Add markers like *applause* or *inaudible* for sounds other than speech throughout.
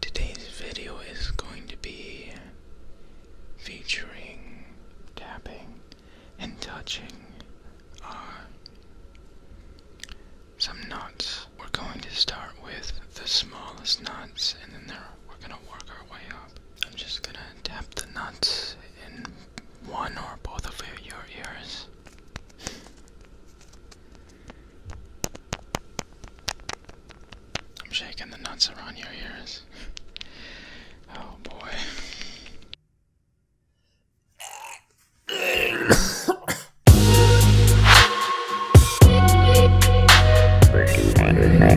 Today's video is going to be featuring tapping and touching uh, some knots. We're going to start with the smallest knots and then we're going to work our way up. I'm just going to tap the knots in one or both of your ears. I'm shaking the nuts around your ears. oh boy.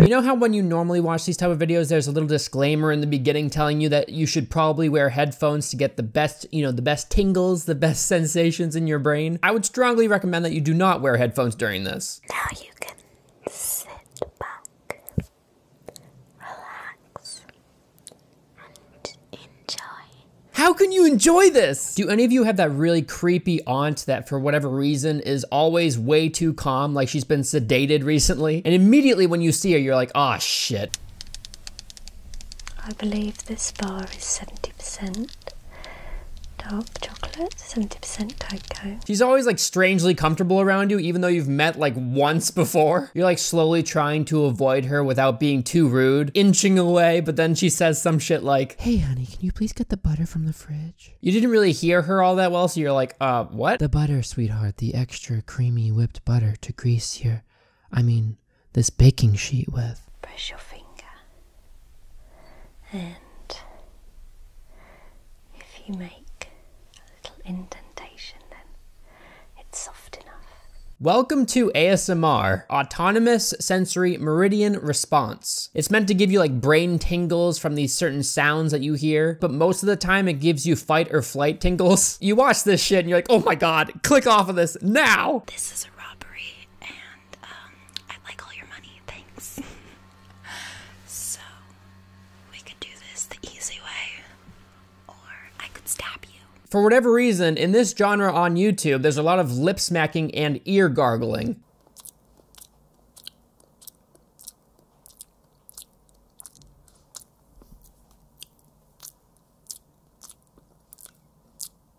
You know how when you normally watch these type of videos, there's a little disclaimer in the beginning telling you that you should probably wear headphones to get the best, you know, the best tingles the best sensations in your brain. I would strongly recommend that you do not wear headphones during this. Now you can sit back, relax, and enjoy. How can you enjoy this? Do any of you have that really creepy aunt that, for whatever reason, is always way too calm, like she's been sedated recently? And immediately when you see her, you're like, oh shit. I believe this bar is 70 70% dark chocolate, 70% cocoa. She's always like strangely comfortable around you, even though you've met like once before. You're like slowly trying to avoid her without being too rude, inching away, but then she says some shit like, Hey honey, can you please get the butter from the fridge? You didn't really hear her all that well, so you're like, uh, what? The butter, sweetheart, the extra creamy whipped butter to grease your, I mean, this baking sheet with. Press your finger, and if you make a little indentation, then it's soft enough. Welcome to ASMR, Autonomous Sensory Meridian Response. It's meant to give you like brain tingles from these certain sounds that you hear, but most of the time it gives you fight or flight tingles. *laughs* You watch this shit and you're like, oh my god, click off of this now! This is a robbery and um, I like all your money, thanks. so, we could do this the easy way, or I could stab you. For whatever reason, in this genre on YouTube, there's a lot of lip smacking and ear gargling.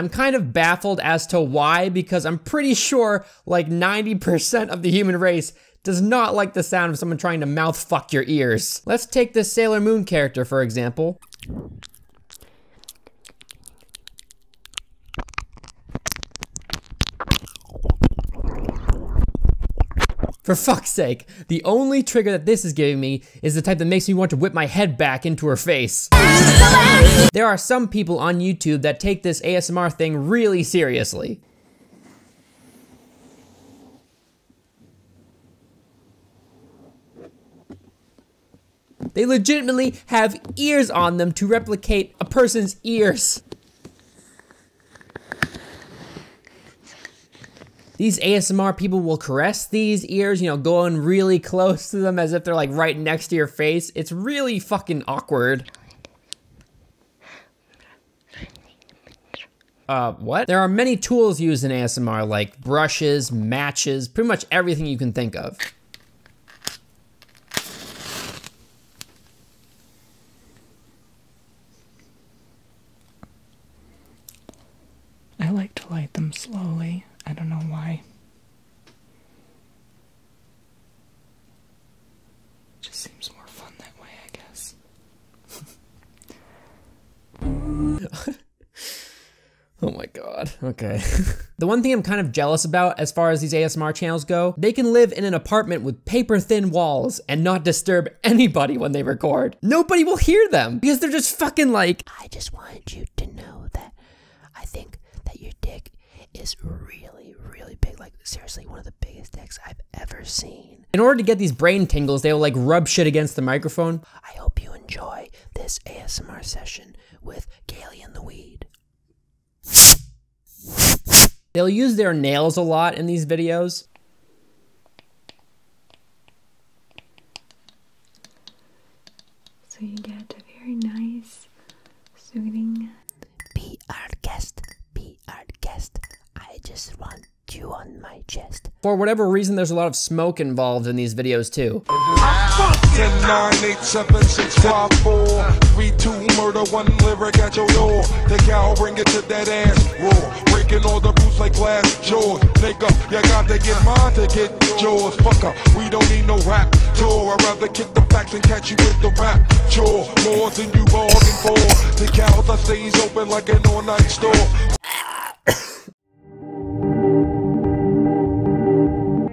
I'm kind of baffled as to why, because I'm pretty sure like 90% of the human race does not like the sound of someone trying to mouth fuck your ears. Let's take this Sailor Moon character, for example. For fuck's sake, the only trigger that this is giving me is the type that makes me want to whip my head back into her face. There are some people on YouTube that take this ASMR thing really seriously. They legitimately have ears on them to replicate a person's ears. These ASMR people will caress these ears, you know, going really close to them as if they're like right next to your face. It's really fucking awkward. Uh, what? There are many tools used in ASMR, like brushes, matches, pretty much everything you can think of. I like to light them slowly. I don't know why. just seems more fun that way, I guess. *laughs* oh my god. Okay. *laughs* the one thing I'm kind of jealous about as far as these ASMR channels go, they can live in an apartment with paper thin walls and not disturb anybody when they record. Nobody will hear them because they're just fucking like, I just wanted you to know that I think that your dick is really, really big. Like, seriously, one of the biggest dicks I've ever seen. In order to get these brain tingles, they will like rub shit against the microphone. I hope you enjoy this ASMR session with Gailey and the Weed. They'll use their nails a lot in these videos. So you get a very nice, soothing... Be our guest, be our guest. I just want you on my chest. For whatever reason, there's a lot of smoke involved in these videos too. Ten, nine, eight, seven, six, five, four, three, two, murder, one lyric at your door. The cow bring it to that ass roar. Breaking all the rules like glass jaws. Nigga, you got to get mine to get yours. Fucker, we don't need no rap tour. I'd rather kick the facts and catch you with the rap chore. More than you bargained for. The cow that stays open like an all-night store. I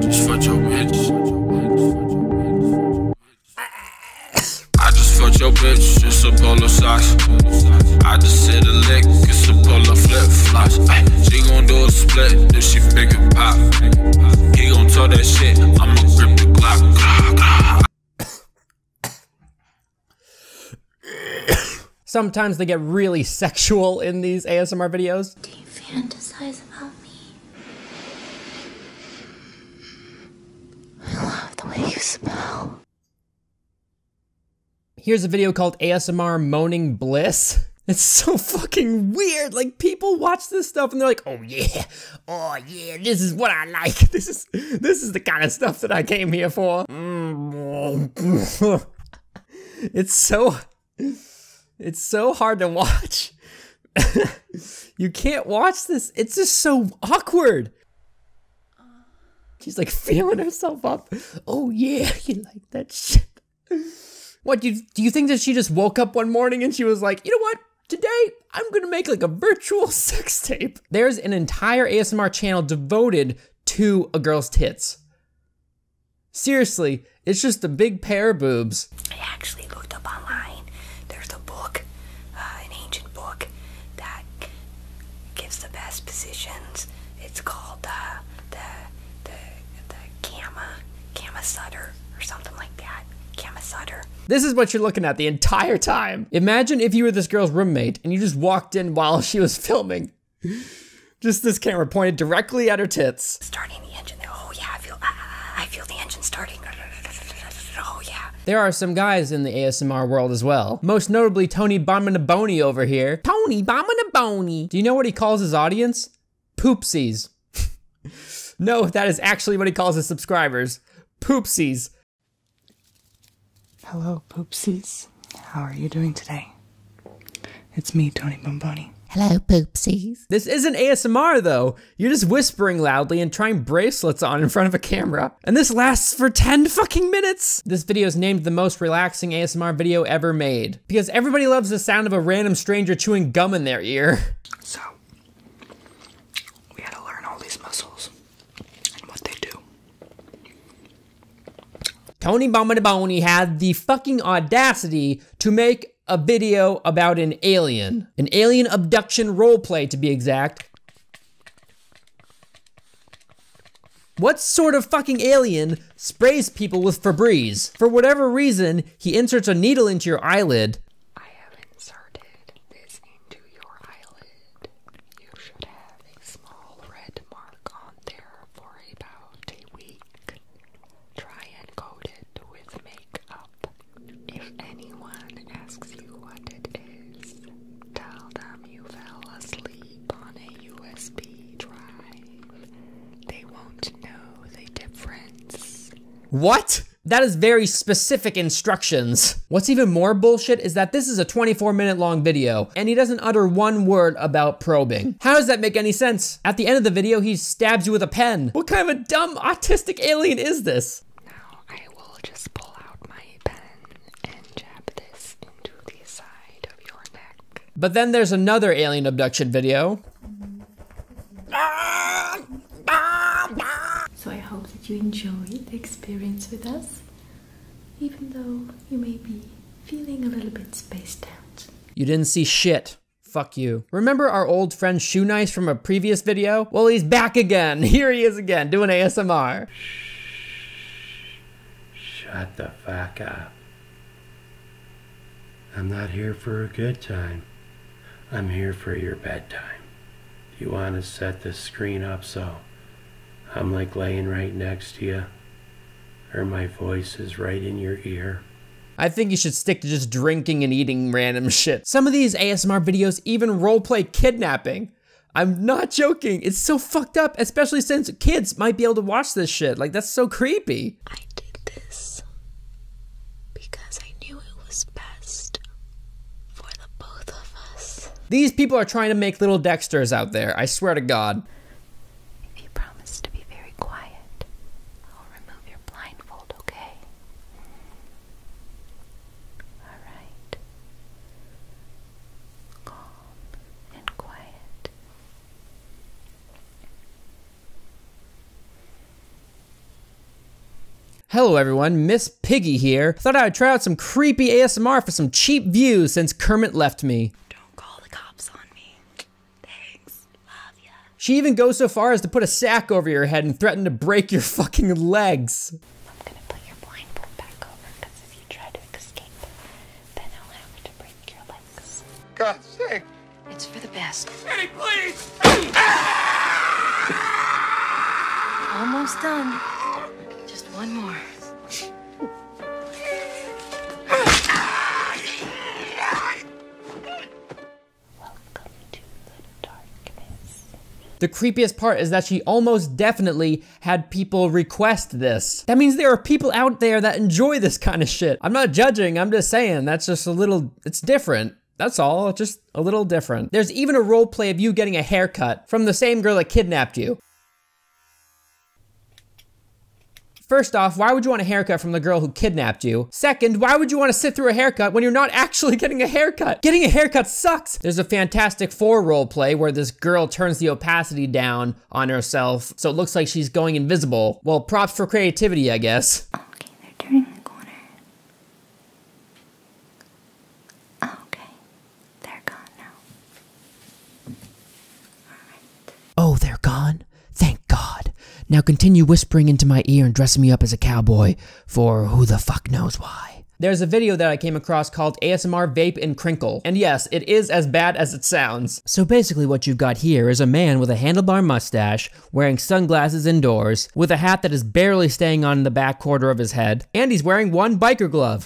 just fucked your bitch. I just fucked your bitch. It's a polo socks. I just hit a lick. It's a polo flip flops. She gon' do a split if she make it pop. He gon' tell that shit. I'ma grip the Glock. Sometimes they get really sexual in these ASMR videos. Do you fantasize about me? I love the way you smell. Here's a video called ASMR Moaning Bliss. It's so fucking weird. Like people watch this stuff and they're like, "Oh yeah, oh yeah, this is what I like. *laughs* This is this is the kind of stuff that I came here for." *laughs* *laughs* it's so it's so hard to watch. *laughs* you can't watch this. It's just so awkward. She's like feeling herself up. Oh yeah, *laughs* you like that shit. What do you do you think that she just woke up one morning and she was like, you know what? Today I'm gonna make like a virtual sex tape. There's an entire ASMR channel devoted to a girl's tits. Seriously, it's just a big pair of boobs. I actually looked up online. There's a book, uh, an ancient book, that gives the best positions. It's called uh, the the the Kama Kama Sutter or something like that. Kama Sutter. This is what you're looking at the entire time. Imagine if you were this girl's roommate and you just walked in while *laughs* she was filming. Just this camera pointed directly at her tits. Starting the engine. Oh yeah, I feel, I, feel the engine starting. Oh yeah. There are some guys in the ASMR world as well. Most notably Tony Bominaboni over here. Tony Bominaboni. Do you know what he calls his audience? Poopsies. *laughs* no, that is actually what he calls his subscribers. Poopsies. Hello, poopsies. How are you doing today? It's me, Tony Bomboni. Hello, poopsies. This isn't ASMR though. You're just whispering loudly and trying bracelets on in front of a camera. And this lasts for 10 fucking minutes. This video is named the most relaxing ASMR video ever made because everybody loves the sound of a random stranger chewing gum in their ear. So, we had to learn all these muscles and what they do. Tony Bombadaboni had the fucking audacity to make a video about an alien. An alien abduction roleplay, to be exact. What sort of fucking alien sprays people with Febreze? For whatever reason, he inserts a needle into your eyelid. I have inserted this into your eyelid. You should have a small red mark on there for about a week. Try and coat it with makeup. If anyone asks you what it is, tell them you fell asleep on a USB drive. They won't know the difference. What? That is very specific instructions. What's even more bullshit is that this is a 24 minute long video and he doesn't utter one word about probing. How does that make any sense? At the end of the video, he stabs you with a pen. What kind of a dumb autistic alien is this? Now I will just pull out my pen and jab this into the side of your neck. But then there's another alien abduction video. So I hope that you enjoyed the experience with us even though you may be feeling a little bit spaced out. You didn't see shit. Fuck you. Remember our old friend Shoe Nice from a previous video? Well, he's back again. *laughs* Here he is again, doing ASMR. Shut the fuck up. I'm not here for a good time. I'm here for your bedtime. Do You want to set the screen up so I'm like laying right next to you, or my voice is right in your ear. I think you should stick to just drinking and eating random *laughs* shit. Some of these ASMR videos even roleplay kidnapping. I'm not joking. It's so fucked up, especially since kids might be able to watch this shit. Like, that's so creepy. I did this because I knew it was best for these people are trying to make little Dexters out there, I swear to God. If you promise to be very quiet, I'll remove your blindfold, okay? Alright. Calm and quiet. Hello everyone, Miss Piggy here. Thought I'd try out some creepy ASMR for some cheap views since Kermit left me. Don't call the cops on me. Thanks. Love ya. She even goes so far as to put a sack over your head and threaten to break your fucking legs. I'm gonna put your blindfold back over because if you try to escape, then I'll have to break your legs. God's sake. It's for the best. Eddie, please! Almost done. Just one more. The creepiest part is that she almost definitely had people request this. That means there are people out there that enjoy this kind of shit. I'm not judging, I'm just saying that's just a little, it's different. That's all, just a little different. There's even a role play of you getting a haircut from the same girl that kidnapped you. First off, why would you want a haircut from the girl who kidnapped you? Second, why would you want to sit through a haircut when you're not *laughs* actually getting a haircut? Getting a haircut sucks! There's a Fantastic Four role play where this girl turns the opacity down on herself so it looks like she's going invisible. Well, props for creativity, I guess. Okay, they're turning the corner. Okay, they're gone now. Alright. Oh, they're gone? Thank God. Now continue whispering into my ear and dressing me up as a cowboy for who the fuck knows why. There's a video that I came across called ASMR Vape and Crinkle, and yes, it is as bad as it sounds. So basically what you've got here is a man with a handlebar mustache, wearing sunglasses indoors, with a hat that is barely staying on the back quarter of his head, and he's wearing one biker glove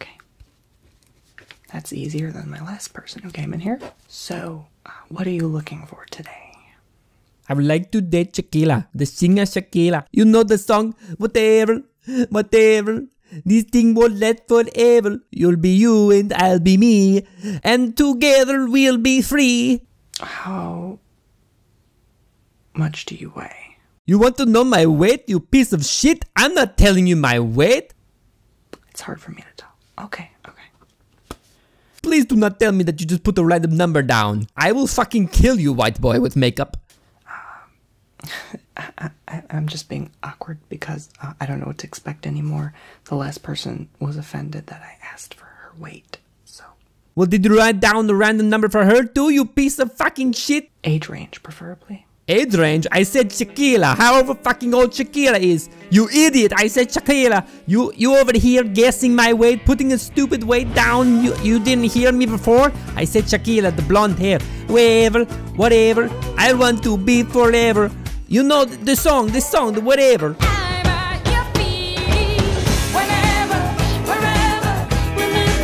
Okay. That's easier than my last person who came in here. So, uh, what are you looking for today? I would like to date Shakira, the singer Shakira. You know the song, whatever, whatever. This thing won't last forever. You'll be you and I'll be me. And together we'll be free. How much do you weigh? You want to know my weight, you piece of shit? I'm not telling you my weight. It's hard for me to tell. Okay, okay. Please do not tell me that you just put a random number down. I will fucking kill you, white boy, with makeup. Um, *laughs* I, am just being awkward because uh, I don't know what to expect anymore. The last person was offended that I asked for her weight, so. Well, did you write down the random number for her too, you piece of fucking shit? Age range, preferably. Age range? I said Shakira, however fucking old Shakira is. You idiot, I said Shakira. You you over here guessing my weight, putting a stupid weight down. You, you didn't hear me before? I said Shakira, the blonde hair. Whatever, whatever, I want to be forever. You know the, song, the song, the whatever.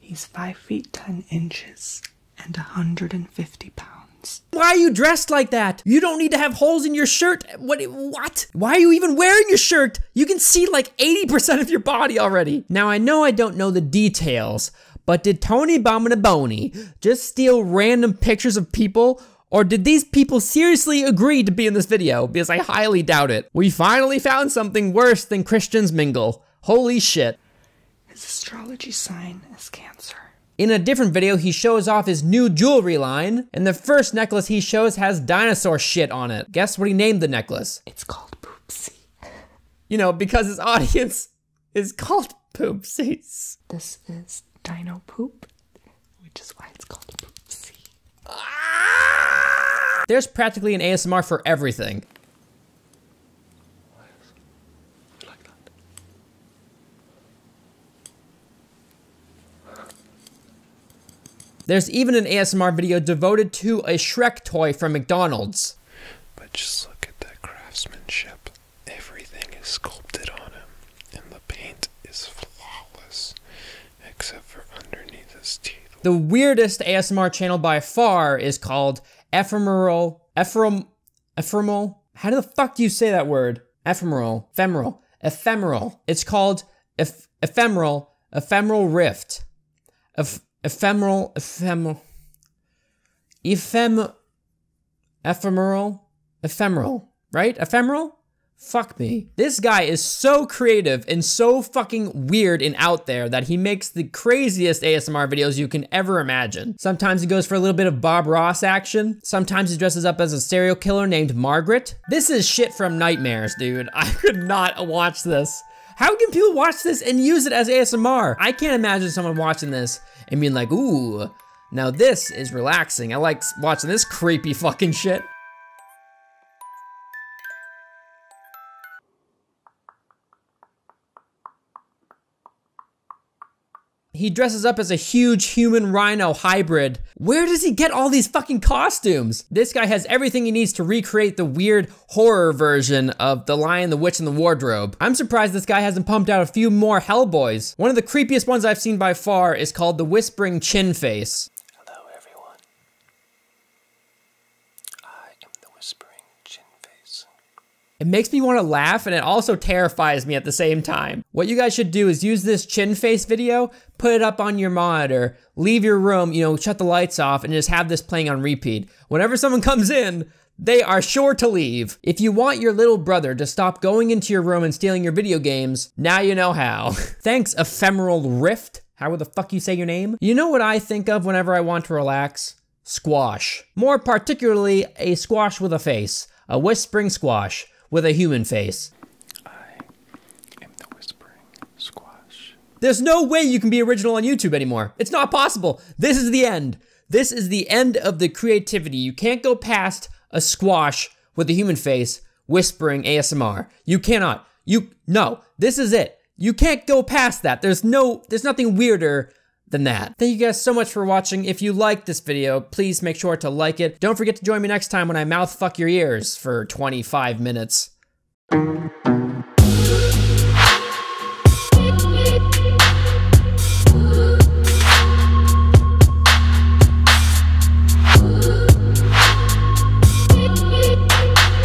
He's five feet ten inches and a 150 pounds. Why are you dressed like that? You don't need to have holes in your shirt. What? What? Why are you even wearing your shirt? You can see like 80% of your body already. Now, I know I don't know the details, but did Tony Bominaboni just steal random pictures of people or did these people seriously agree to be in this video? Because I highly doubt it. We finally found something worse than Christians mingle. Holy shit. His astrology sign is Cancer. In a different video, he shows off his new jewelry line, and the first necklace he shows has dinosaur shit on it. Guess what he named the necklace? It's called Poopsie. You know, because his audience is called Poopsies. This is dino poop, which is why it's called Poopsie. There's practically an ASMR for everything. There's even an ASMR video devoted to a Shrek toy from McDonald's. But just look at that craftsmanship. Everything is sculpted on him, and the paint is flawless, except for underneath his teeth. The weirdest ASMR channel by far is called ephemeral, ephemeral, ephemeral. How do the fuck do you say that word? Ephemeral, ephemeral, ephemeral. It's called eph- ephemeral, ephemeral rift, eph- ephemeral, ephemeral, ephem, ephemeral, ephemeral. Right? Ephemeral. Fuck me. This guy is so creative and so fucking weird and out there that he makes the craziest ASMR videos you can ever imagine. Sometimes he goes for a little bit of Bob Ross action. Sometimes he dresses up as a serial killer named Margaret. This is shit from nightmares, dude. *laughs* I could not watch this. How can people watch this and use it as ASMR? I can't imagine someone watching this and being like, ooh, now this is relaxing. I like watching this creepy fucking shit. He dresses up as a huge human rhino hybrid. Where does he get all these fucking costumes? This guy has everything he needs to recreate the weird horror version of The Lion, the Witch, and the Wardrobe. I'm surprised this guy hasn't pumped out a few more Hellboys. One of the creepiest ones I've seen by far is called The Whispering Chin Face. Hello, everyone. It makes me want to laugh and it also terrifies me at the same time. What you guys should do is use this chin face video, put it up on your monitor, leave your room, you know, shut the lights off, and just have this playing on repeat. Whenever someone comes in, they are sure to leave. If you want your little brother to stop going into your room and stealing your video games, now you know how. *laughs* Thanks, Ephemeral Rift. How would the fuck you say your name? You know what I think of whenever I want to relax? Squash. More particularly, a squash with a face. A whispering squash with a human face. I am the whispering squash. There's no way you can be original on YouTube anymore. It's not possible. This is the end. This is the end of the creativity. You can't go past a squash with a human face whispering ASMR. You cannot. You, no, this is it. You can't go past that. There's no, there's nothing weirder than that. Thank you guys so much for watching. If you liked this video, please make sure to like it. Don't forget to join me next time when I mouth fuck your ears for 25 minutes